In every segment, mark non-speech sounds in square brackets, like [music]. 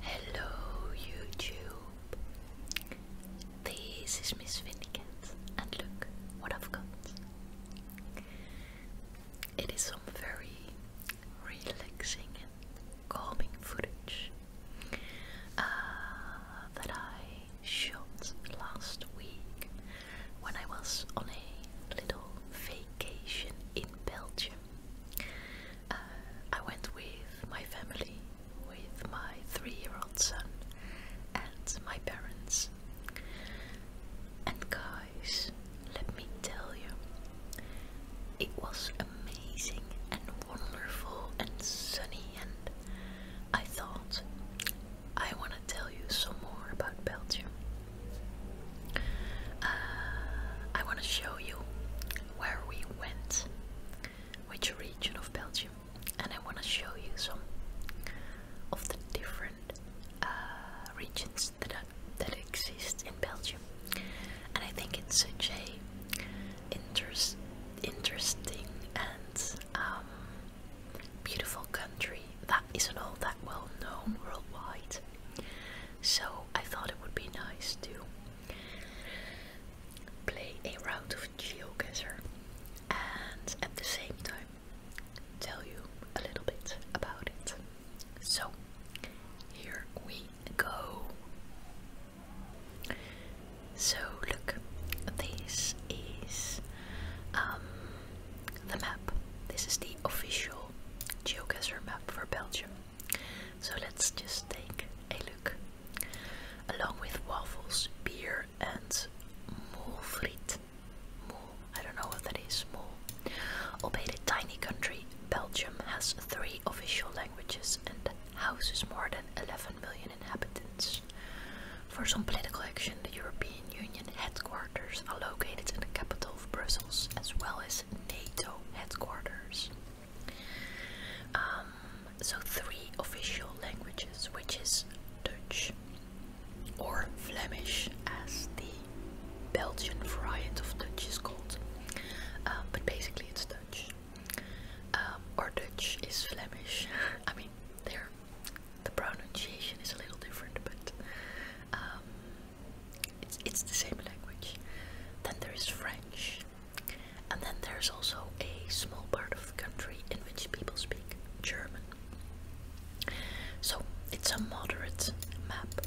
Hello YouTube! This is Miss Finnegan and look what I've got. It is some very relaxing and calming footage uh, that I shot last week when I was on a little vacation in Belgium. Uh, I went with my family, with my three-year-old son and my parents. And guys, let me tell you, it was amazing and wonderful and sunny and I thought I want to tell you some more about Belgium. Uh, I want to show you where we went, which region of Belgium, and I want to show you some of the different uh, regions that that exist in Belgium. And I think it's such a interesting and um, beautiful country that isn't all that well known worldwide. So I thought it would be nice to play a round of GeoGuessr and at the same time tell you a little bit about it. So here we go. So look, this is um, the map. This is the official GeoGuessr map for Belgium. So let's just take a look. Along with waffles, beer, and moelfriet. Moel, I don't know what that is. Moel. Albeit a tiny country, Belgium has three official languages and houses more than 11 million inhabitants. For some political action, the European Union headquarters are located in the capital of Brussels, as well as NATO headquarters. Um, so three official languages, which is Dutch or Flemish, as the Belgian variant of Dutch is called, uh, but basically it's Dutch. Um, or Dutch is Flemish. [laughs] I mean, there the pronunciation is a little different, but um, it's, the same language. Then there is French, and then there's also a small part of the country in which people speak German. So it's a moderate map.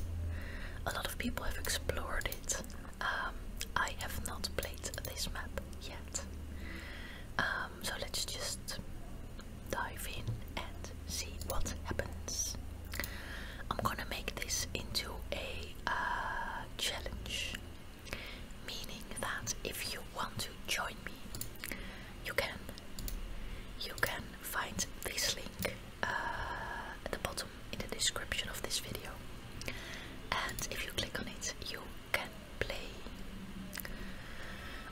A lot of people have explored it. Um, I have not played this map yet. Um, so let's just dive in and see what happens. I'm gonna make this into a challenge, meaning that if you want to join me, you can. You can find this link uh, at the bottom in the description of this video, and if you click on it, you can play.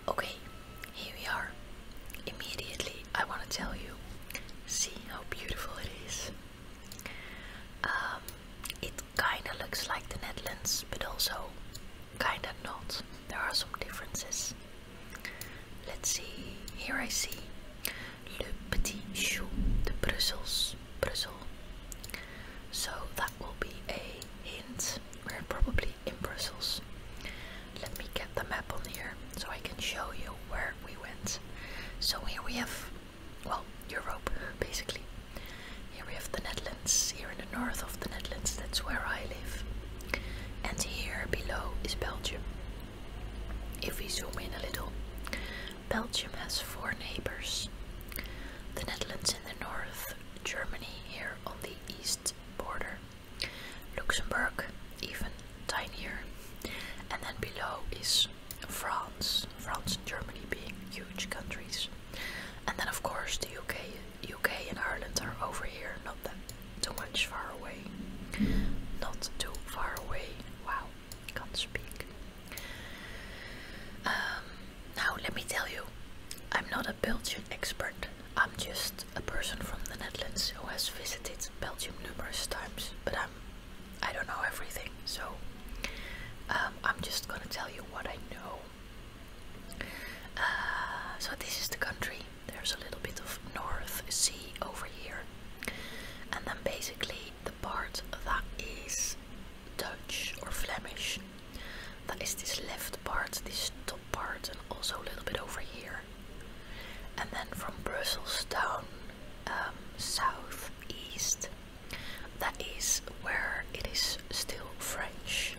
Okay, here we are. Immediately, I want to tell you. See how beautiful it is. Um, it kind of looks like the Netherlands, but also kind of not. There are some differences. Let's see. Here I see Le Petit Chou de Brussels, Brussels. So that will be a hint. We're probably in Brussels. Let me get the map on here so I can show you where we went. So here we have, well, Europe basically. Here we have the Netherlands, here in the north of the Netherlands, that's where I live. And here below is Belgium. If we zoom in a little, Belgium has four neighbors. The Netherlands in the north, Germany here on the east border, Luxembourg even tinier, and then below is France, France and Germany being huge countries, and then of course the UK, UK and Ireland are over here, not too much far away, not too far away. Wow, can't speak. Um, now let me tell you, I'm not a Belgian expert. I'm just a person from the Netherlands who has visited Belgium numerous times, but I'm I don't know everything, so um, I'm just gonna tell you what I know. Uh, so this is the country. There's a little bit of North Sea over here, and then basically the part that is Dutch or Flemish. That is this left part, this top part, and also a little bit over here. And then from Brussels down um, southeast. That is where it is still French.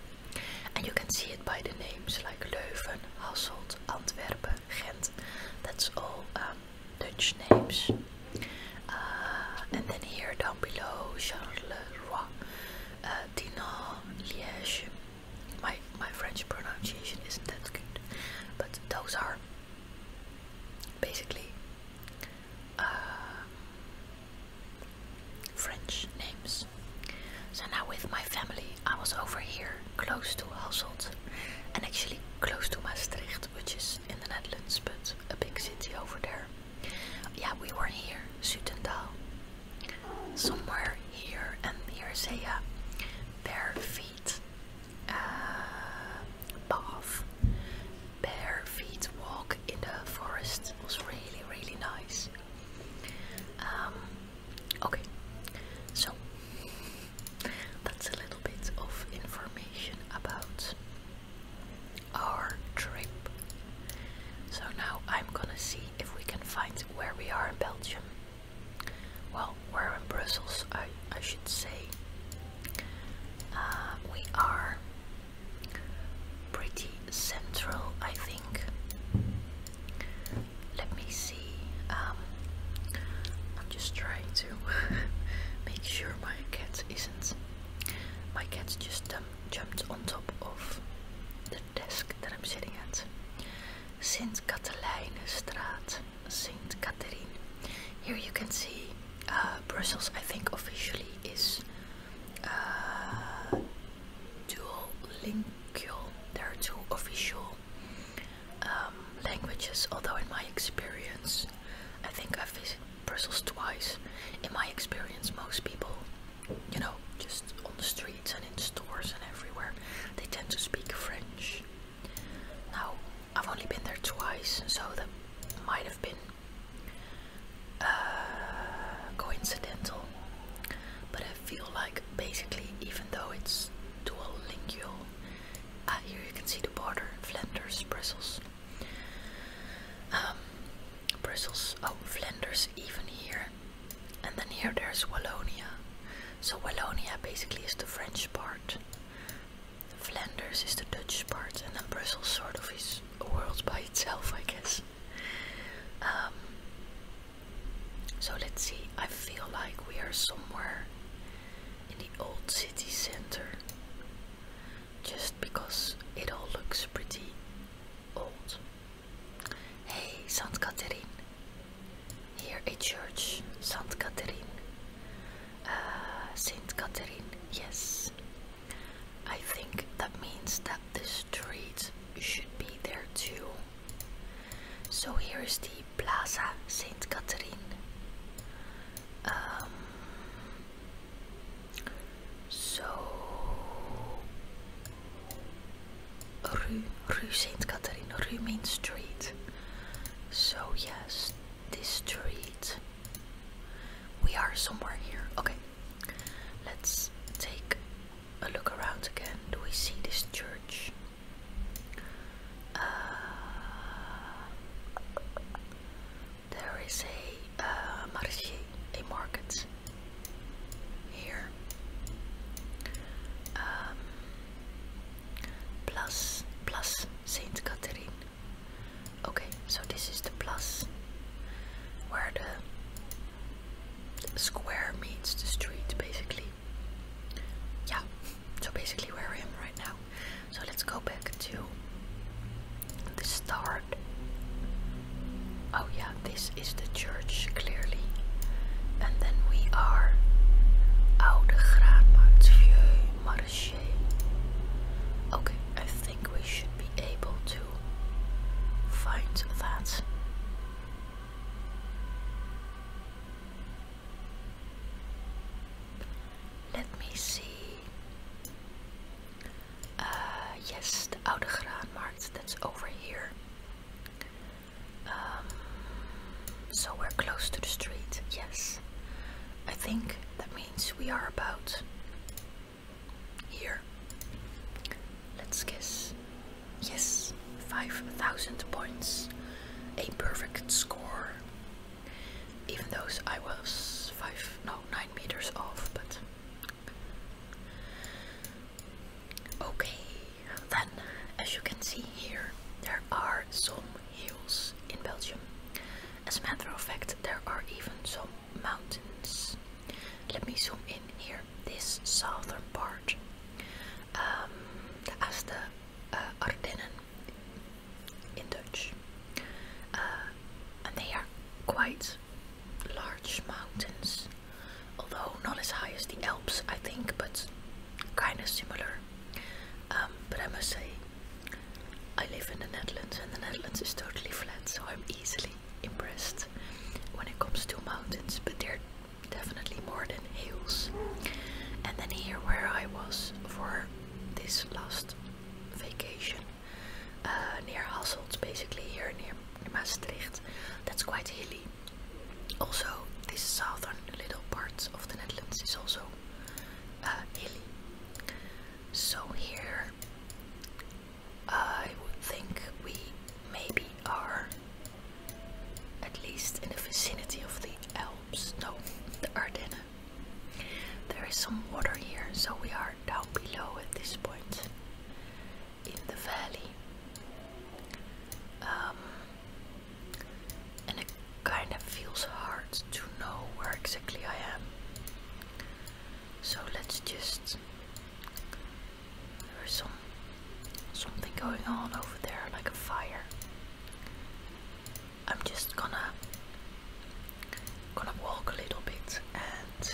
And you can see it by the names like Leuven, Hasselt, Antwerpen, Ghent. That's all um, Dutch names. Uh, and then here down below, le uh, Dinan, Liège. My, my French pronunciation isn't that good, but those are basically uh, French names. So now with my family, I was over here close to Hasselt and actually close to Maastricht, which is in the Netherlands, but a big city over there. Yeah, we were here, Sutendaal, somewhere here and here, say, yeah, bare feet uh, Bare feet walk in the forest was really, really nice. Um, okay, so that's a little bit of information about our trip. So now I'm gonna see if we can find where we are in Belgium. Well, we're in Brussels, I, I should say. Uh, we are pretty central, I think. Let me see. Um, I'm just trying to [laughs] make sure my cat isn't. My cat just um, jumped on top of the desk that I'm sitting at. Sint Katelijnenstraat. Saint Catherine. Here you can see uh, Brussels, I think officially is uh, duolingual. There are two official um, languages, although in my experience, I think I've visited Brussels twice. In my experience, most people, you know, just on the streets and in stores and everywhere, they tend to speak French. Now, I've only been there twice, so that might have been uh, coincidental. But I feel like basically, even though it's dual lingual, uh, here you can see the border Flanders, Brussels. Um, Brussels, oh, Flanders, even here. And then here there's Wallonia. So Wallonia basically is the French part Flanders is the Dutch part, and then Brussels sort of is a world by itself, I guess. Um, so let's see, I feel like we are somewhere in the old city center just because it all looks pretty old. Hey, St. Catherine. Here a church, St. Catherine. Uh, Saint Catherine, yes. I think that means that the street should be there too. So here is the Plaza Saint Catherine. Um, so Rue, Rue Saint Catherine, Rue Main Street. So yes, this street. We are somewhere here. Okay, let's take a look around again. Do we see this church? Uh, there is a uh, marché, a market here. Um, plus, plus Saint Catherine. Okay, so this is the plus where the square meets the street basically. Yeah, so basically where I am right now. So let's go back to the start. Oh, yeah, this is the church clearly. And then we are Oude Graanmarkt, Vieux Okay, I think we should be able to find that. Let me see. Uh, yes, the Oude Graanmarkt, that's over here. Um, so we're close to the street, yes. I think that means we are about here. Let's guess. Yes, 5,000 points. A perfect score. Even though I was 5, no, 9 meters off, but. Okay, then, as you can see here, there are some hills in Belgium. As a matter of fact, there are even some mountains. Let me zoom in here. This southern part, um, the uh, Ardennen in Dutch, uh, and they are quite large mountains, although not as high as the Alps, I think, but kind of similar. Um, but I must say, I live in the Netherlands and the Netherlands is totally flat, so I'm easily impressed when it comes to mountains, but they're definitely more than hills. And then here where I was for this last vacation, uh, near Hasselt, basically here near Maastricht, that's quite hilly. Also, this southern little part of the Netherlands is also uh, hilly. So here I would think we maybe are at least in the vicinity of the Alps, no, the Ardennes. There is some water here, so we are down below at this point in the valley. Um, and a kind of feels hard to know where exactly I am. So let's just there is some something going on over there like a fire. I'm just gonna gonna walk a little bit and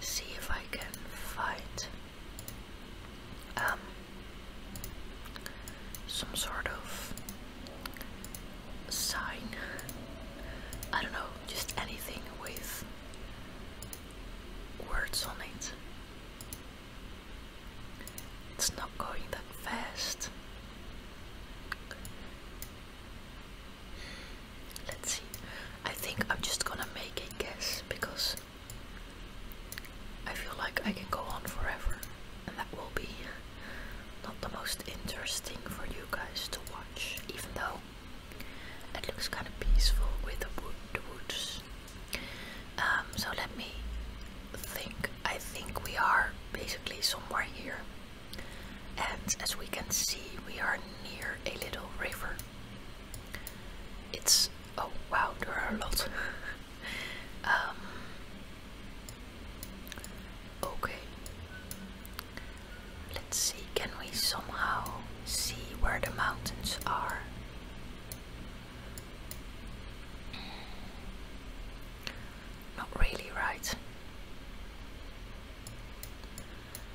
see if I can find um some sort of sign. I don't know, just anything with words on it. It's not going that fast. Let's see. I think I'm just gonna make a guess because I feel like I can go on forever and that will be not the most interesting for you guys to watch, even though it looks kind of peaceful with the, woods. Um, so let me think. I think we are basically somewhere here, and as we can see, we are near a little river. It's oh wow, there are a lot. [laughs] Um, okay. Let's see, can we somehow see where the mountains are? Mm, not really, right?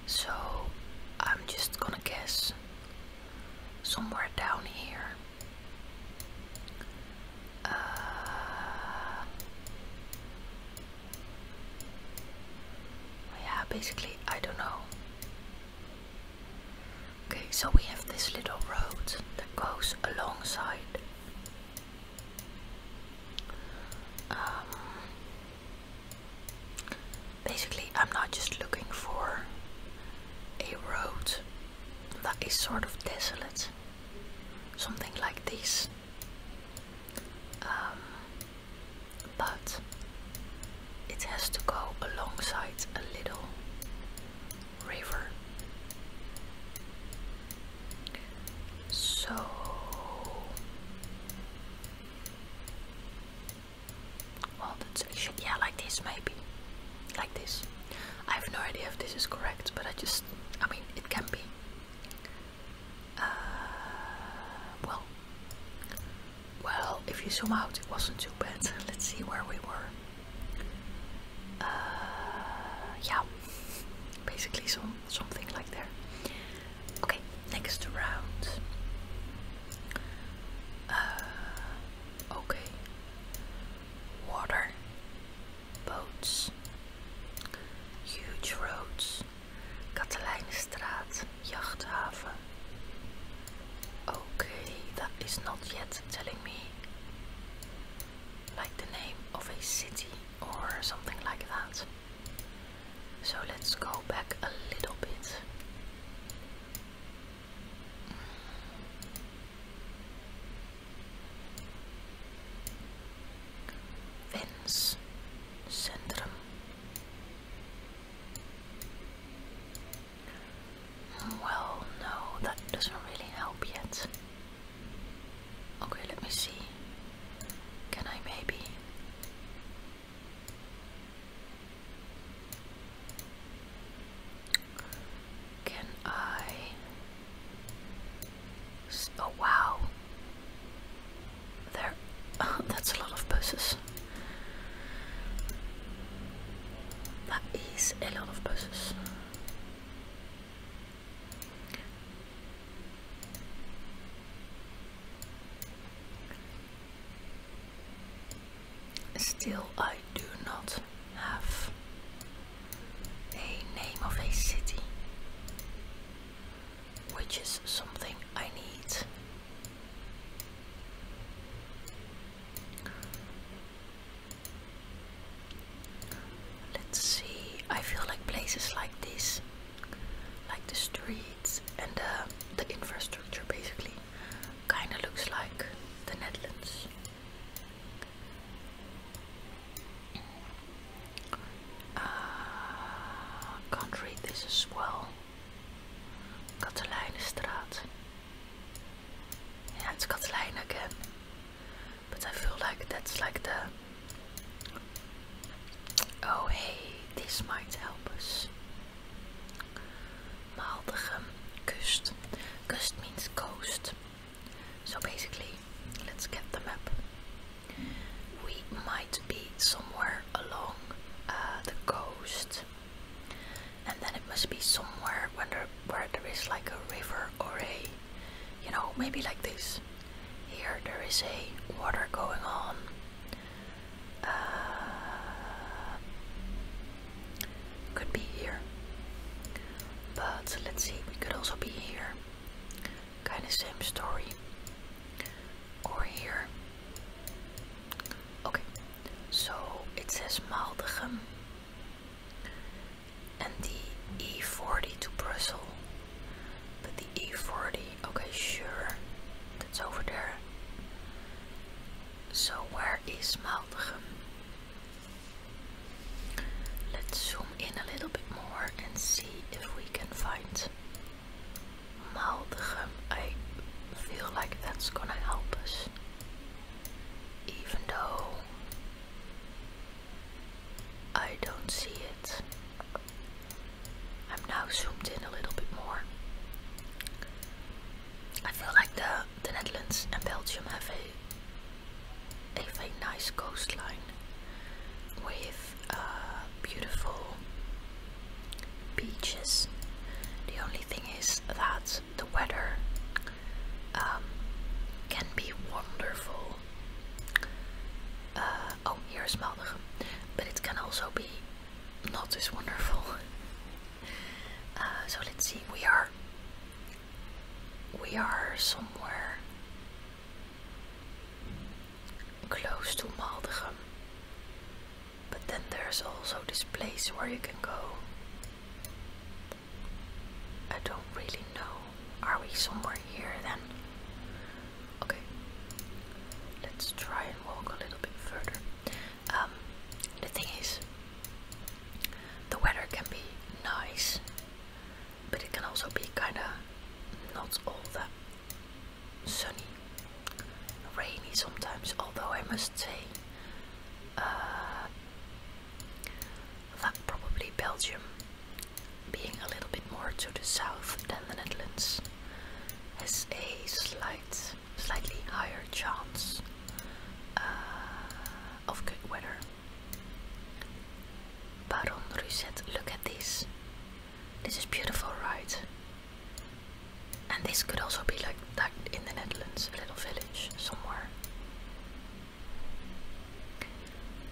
So I'm just gonna guess somewhere down here. Uh, yeah, basically, I don't know. Okay, so we have this little road that goes alongside. Um, basically, I'm not just looking for a road that is sort of desolate something like this. Um, but it has to go alongside a little river. So well that's actually yeah like this maybe like this I have no idea if this is correct, but I just, I mean, it can be. Uh, well, well, if you zoom out, it wasn't too bad. [laughs] Let's see where we were. Uh, yeah, basically some something like there. Okay, next round. Uh, okay, water. boats, huge roads, Katelijnenstraat, jachthaven. Okay, that is not yet telling me like the name of a city or something like that. So let's go back a little bit. Vens centrum. Well, no, that doesn't really help yet. Okay, let me see. Can I maybe? Can I Oh wow. There. [laughs] that's a lot of buses. That is a lot of buses. Still, I do not have a name of a city, which is something I need. Let's see, I feel like places like this, like the streets and the, uh, the infrastructure basically, kinda looks like the Netherlands. Uh, can't read this as well. Katelijnenstraat. Yeah, it's Katelijn again. But I feel like that's like the. Oh hey, this might help us. Maaldigem, kust. Kust means coast. So basically, let's get the map. We might be somewhere along uh, the coast, and then it must be somewhere where there is like a river or a, you know, maybe like this. Here there is a water going on. Uh, could be here, but let's see. We could also be here. Kind of same story. Or here. Okay, so it says Maldegem and the E40 to Brussels. But the E40, okay, sure, that's over there. So where is Maldegem? Let's zoom in a little bit more and see if we can find Maldegem. I feel like that's gonna help us. Even though I don't see it. I'm now zoomed in a little bit more. I feel like the, the Netherlands and Belgium have a have a nice coastline with uh, beautiful beaches. The only thing is that the weather um, can be wonderful. Uh, oh, here's Maldegem, but it can also be not as wonderful. [laughs] Uh, so let's see. We are we are somewhere close to Maldegem. But then there's also this place where you can go. I don't really know. Are we somewhere here then? Okay. Let's try and walk a little bit further. Um, the thing is, the weather can be nice, but it can also be kind of not all that sunny, rainy sometimes. Although I must say, uh, that probably Belgium, being a little bit more to the south than the Netherlands, has a slight, slightly higher chance uh, of good weather. Baron Ruzet, look at this. This is beautiful, right? And this could also be like that in the Netherlands, a little village somewhere.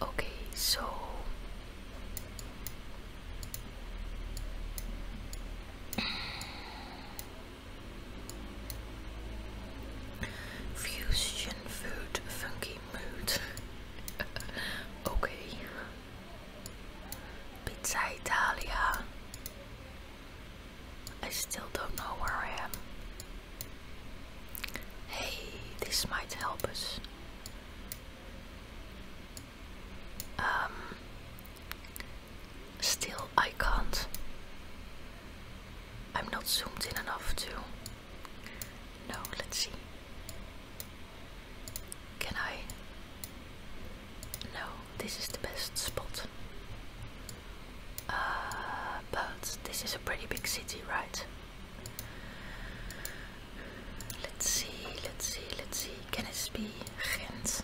Okay, so [clears throat] fusion food, funky mood. [laughs] okay. Pizza Italia. I still don't know where I am. Hey, this might help us. Um still I can't. I'm not zoomed in enough to no, let's see. Can I? No, this is the best spot. Uh, but this is a pretty big city, right? Let's see, let's see, let's see. Can it be Ghent?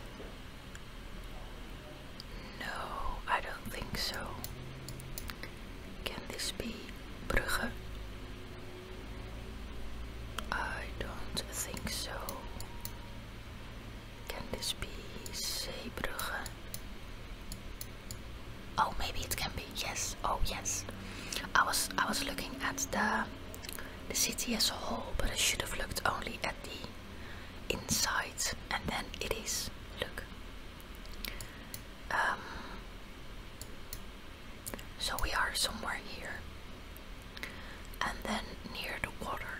No, I don't think so. Can this be I don't think so. Can this be Zeebrugge? Oh, maybe it can be. Yes. Oh, yes. I was I was looking at the the city as a whole, but I should have looked only at the inside, and then it is. Look, um, so we are somewhere here, and then near the water.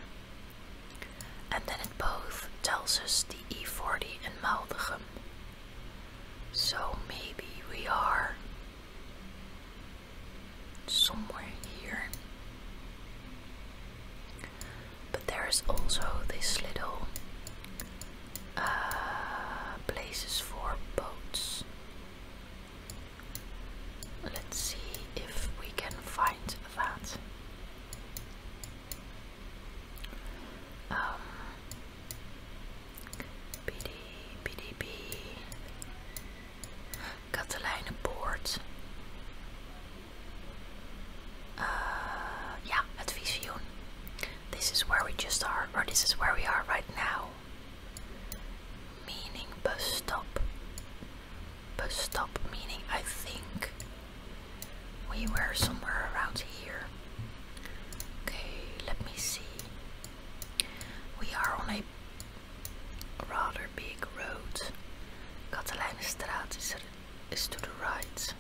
And then it both tells us the E40 and Maldegem. So maybe we are somewhere here. But there is also this little uh, places for boats. Let's see if we can find that. Um, BD, BDB, Catalijnenpoort. Uh, this is where we just are, or this is where we are right now. Meaning bus stop. Bus stop meaning I think we were somewhere around here. Okay, let me see. We are on a rather big road. Katelijnenstraat is to the right.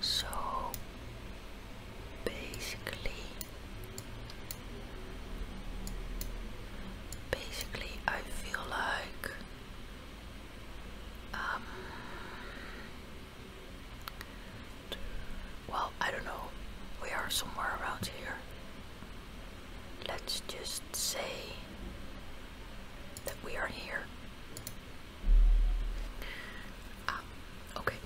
So basically basically I feel like um well I don't know we are somewhere around here let's just say that we are here. Ah, okay.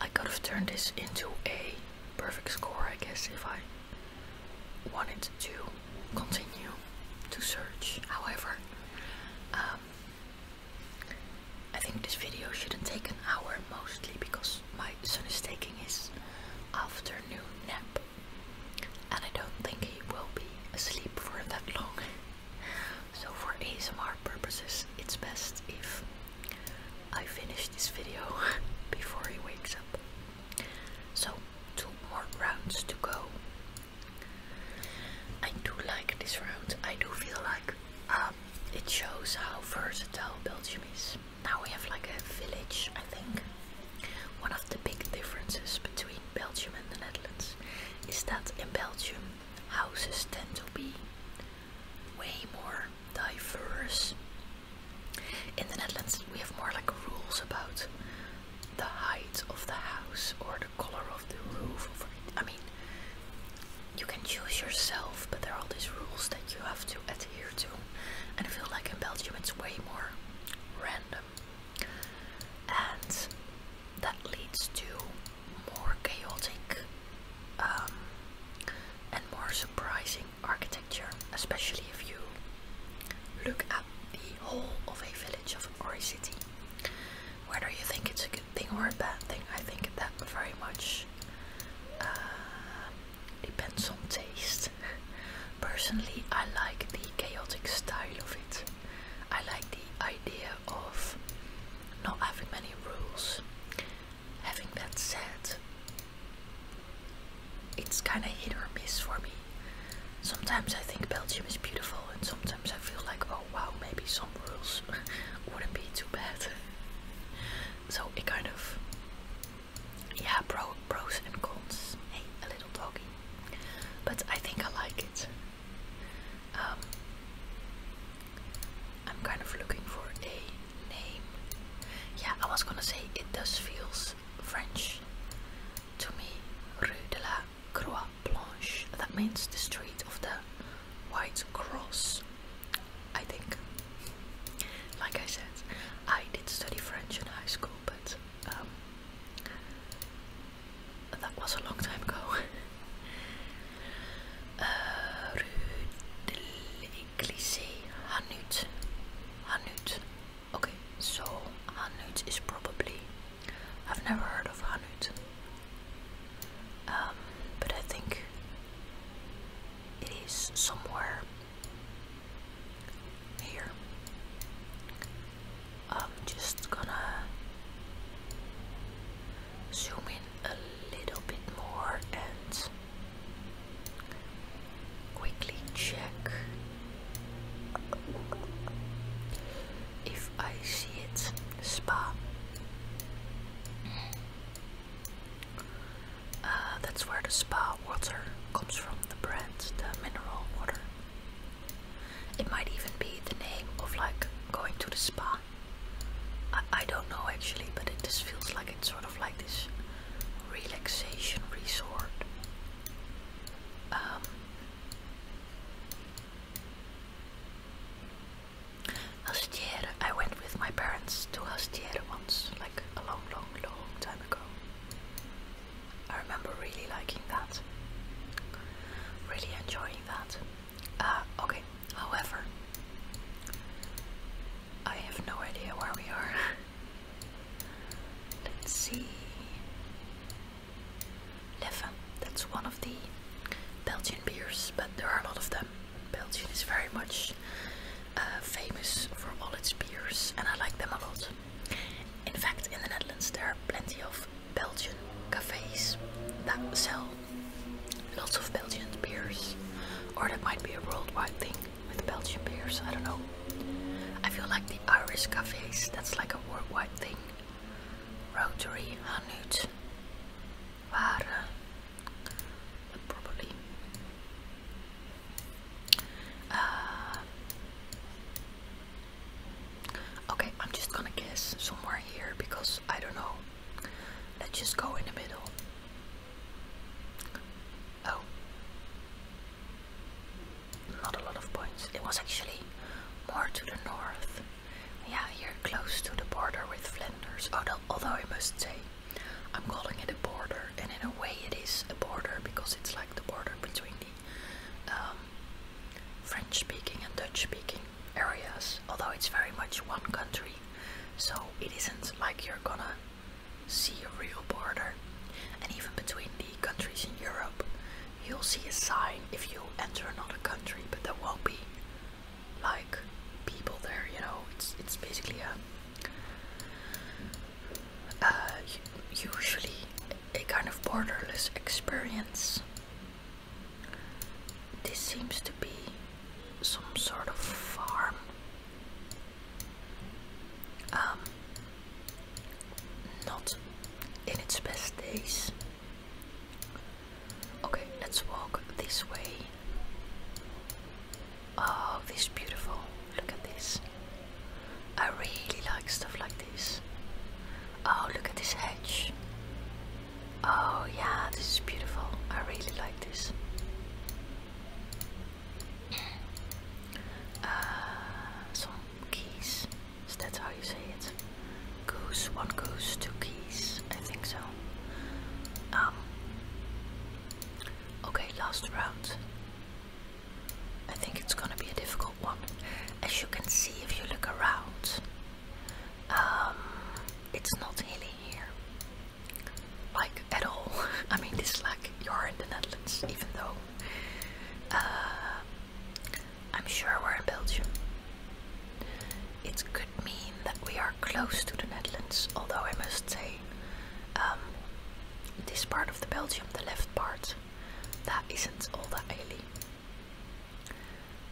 I could have turned this into a perfect score, I guess, if I wanted to continue to search. However, um, I think this video shouldn't take an hour mostly because my son is taking his afternoon nap and I don't think he will be asleep for that long. so for ASMR purposes, it's best if I finish this video [laughs] before he wakes up. So two more rounds to go. I do like this round. I do feel like um, it shows how versatile Belgium is. Now we have like a village, I think. One of the big differences between Belgium and the Netherlands is that in Belgium houses tend to be way more diverse. In the Netherlands we have more like rules about the height of the house or the color of the roof. I mean, you can choose yourself, but there are all these rules that you have to adhere to. And I feel like in Belgium it's way more random and that leads to more chaotic um, and more surprising architecture, especially if you look at the whole of a village of, or a city. Whether you think it's a good thing or a bad thing, I think that very much uh, depends on taste. Personally, I like the chaotic style of it. I like the idea of not having many rules. Having that said, it's kind of hit or miss for me. Sometimes I think Belgium is beautiful, and sometimes I feel like, oh wow, maybe some rules [laughs] wouldn't be too bad. [laughs] so it kind of, yeah, pro, pros and cons. Hey, a little doggy. But I think I like it. Um, I'm kind of looking for a name. Yeah, I was gonna say it does feels French to me. Rue de la Croix Blanche. That means the street of the White Cross. I think. Like I said, I did study French in high school but um, that was a long time ago. [laughs] uh, Hanut. Hanut. Okay, so Hanut is probably. I've never heard of Hanut. Um, but I think it is somewhere here. I'm just gonna zoom in a little bit more and quickly check if I see it. Spa. Uh, that's where the spa water comes from, the brand, the mineral water. It might even be the name of like going to the spa. I, I don't know actually, but it just feels like it's sort of like this relaxation resort. Um, Hastiere, I went with my parents to Hastiere once, like a long, long, long time ago. I remember really liking that, really enjoying that. Uh, okay, however, I have no idea where we are. [laughs] Let's see. Leffe, that's one of the Belgian beers, but there are a lot of them. Belgium is very much uh, famous for all its beers, and I like them a lot. In fact, in the Netherlands, there are plenty of Belgian cafes that sell lots of Belgian beers, or that might be a worldwide thing with Belgian beers. I don't know. I feel like the Irish cafes, that's like a worldwide thing. Rotary, Hanut, Ware, probably. Uh, Okay, I'm just gonna guess somewhere here because I don't know. Let's just go in the middle. Oh. Not a lot of points. It was actually more to the north. Yeah, here close to the border with Flanders. Although, although I must say, I'm calling it a border, and in a way it is a border because it's like the border between the um, French speaking and Dutch speaking areas, although it's very much one country, so it isn't like you're gonna see a real border. And even between the countries in Europe, you'll see a sign if you enter another country, but there won't be like people there, you know. It's it's basically a uh, usually a kind of borderless experience. This seems to be some sort of farm. Um, not in its best days. Okay, let's walk this way. Oh, this beautiful. Look at this. I really like stuff like this. Oh, look at this hedge. Oh, yeah, this is beautiful. I really like this. [clears throat] Uh, some keys. Is that how you say it? Goose, one goose, two keys. I think so. Um, okay, last round. I think it's gonna be a difficult one. As you can see, if you look around, um, it's not hilly here, like at all. [laughs] I mean, this is like you're in the Netherlands, even though uh, I'm sure we're in Belgium. It could mean that we are close to the Netherlands, although I must say, um, this part of the Belgium, the left part, that isn't all that oily.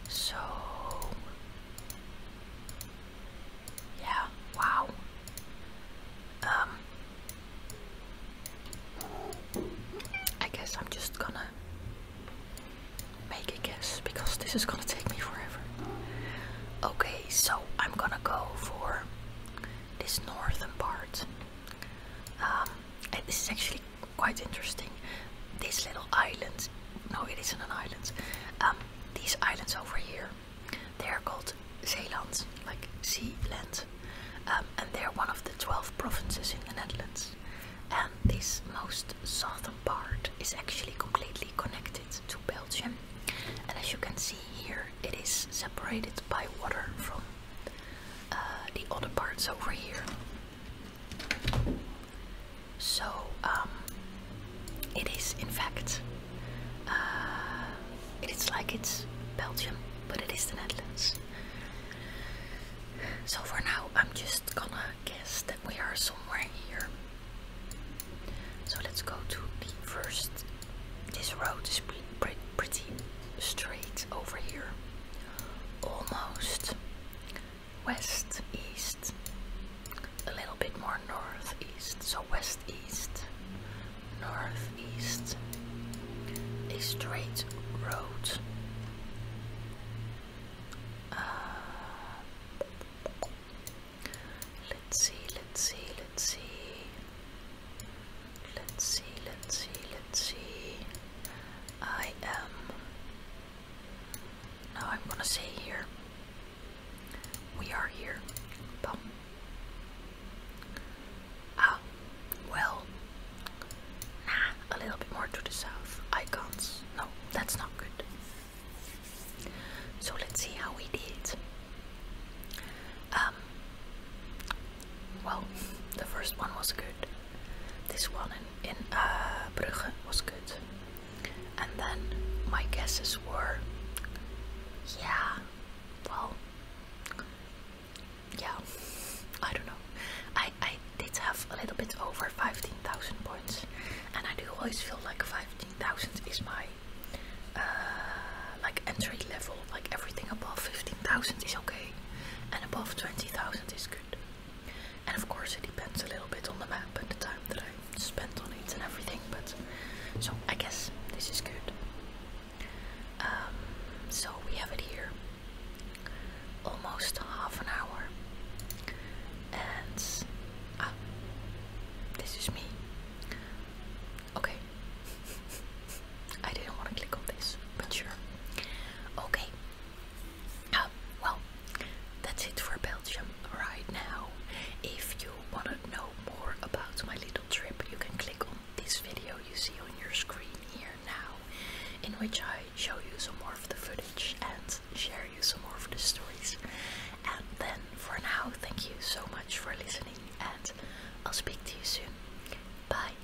So yeah, wow. Um I guess I'm just gonna make a guess because this is gonna take me forever. Okay, so I'm gonna go for this northern part. Um, this is actually quite interesting. These little islands no, it isn't an island. Um, these islands over here, they're called Zeeland, like um, sea and they're one of the 12 provinces in the Netherlands. And this most southern part is actually completely connected to Belgium. And as you can see here, it is separated by water from uh, the other parts over here. So um, it is in fact, uh, it's like it's Belgium, but it is the Netherlands. So for now, I'm just gonna guess that we are somewhere here. So let's go to the first. This road is pretty straight over here almost west east, a little bit more northeast, so west east, northeast, a straight road. Uh, let's see, let's see, let's see. Let's see, let's see, let's see. I am. now. I'm gonna say here. We are here. Ah, well. Nah, a little bit more to the south. Icons. No, that's not good. So let's see how we did. Um, well, the first one was good. This one in, in uh, was good. And then my guesses were yeah, well, yeah, I don't know. I, I did have a little bit over 15,000 points, and I do always feel like 15,000 is my uh, like entry level, like everything above 15,000 is okay and above 20,000 is good. And of course, it depends a little bit on the map and the time that I spent on it and everything, but so I guess this is good. Um, so we have it here almost half an hour, and ah, this is me. Okay. [laughs] I didn't want to click on this, but sure. Okay. Uh, well, that's it for Belgium right now. If you want to know more about my little trip, you can click on this video you see on your screen here now, in which I show you some more of the footage and share you some more of the stories. And then for now, thank you so much for listening, and I'll speak to you soon. Bye.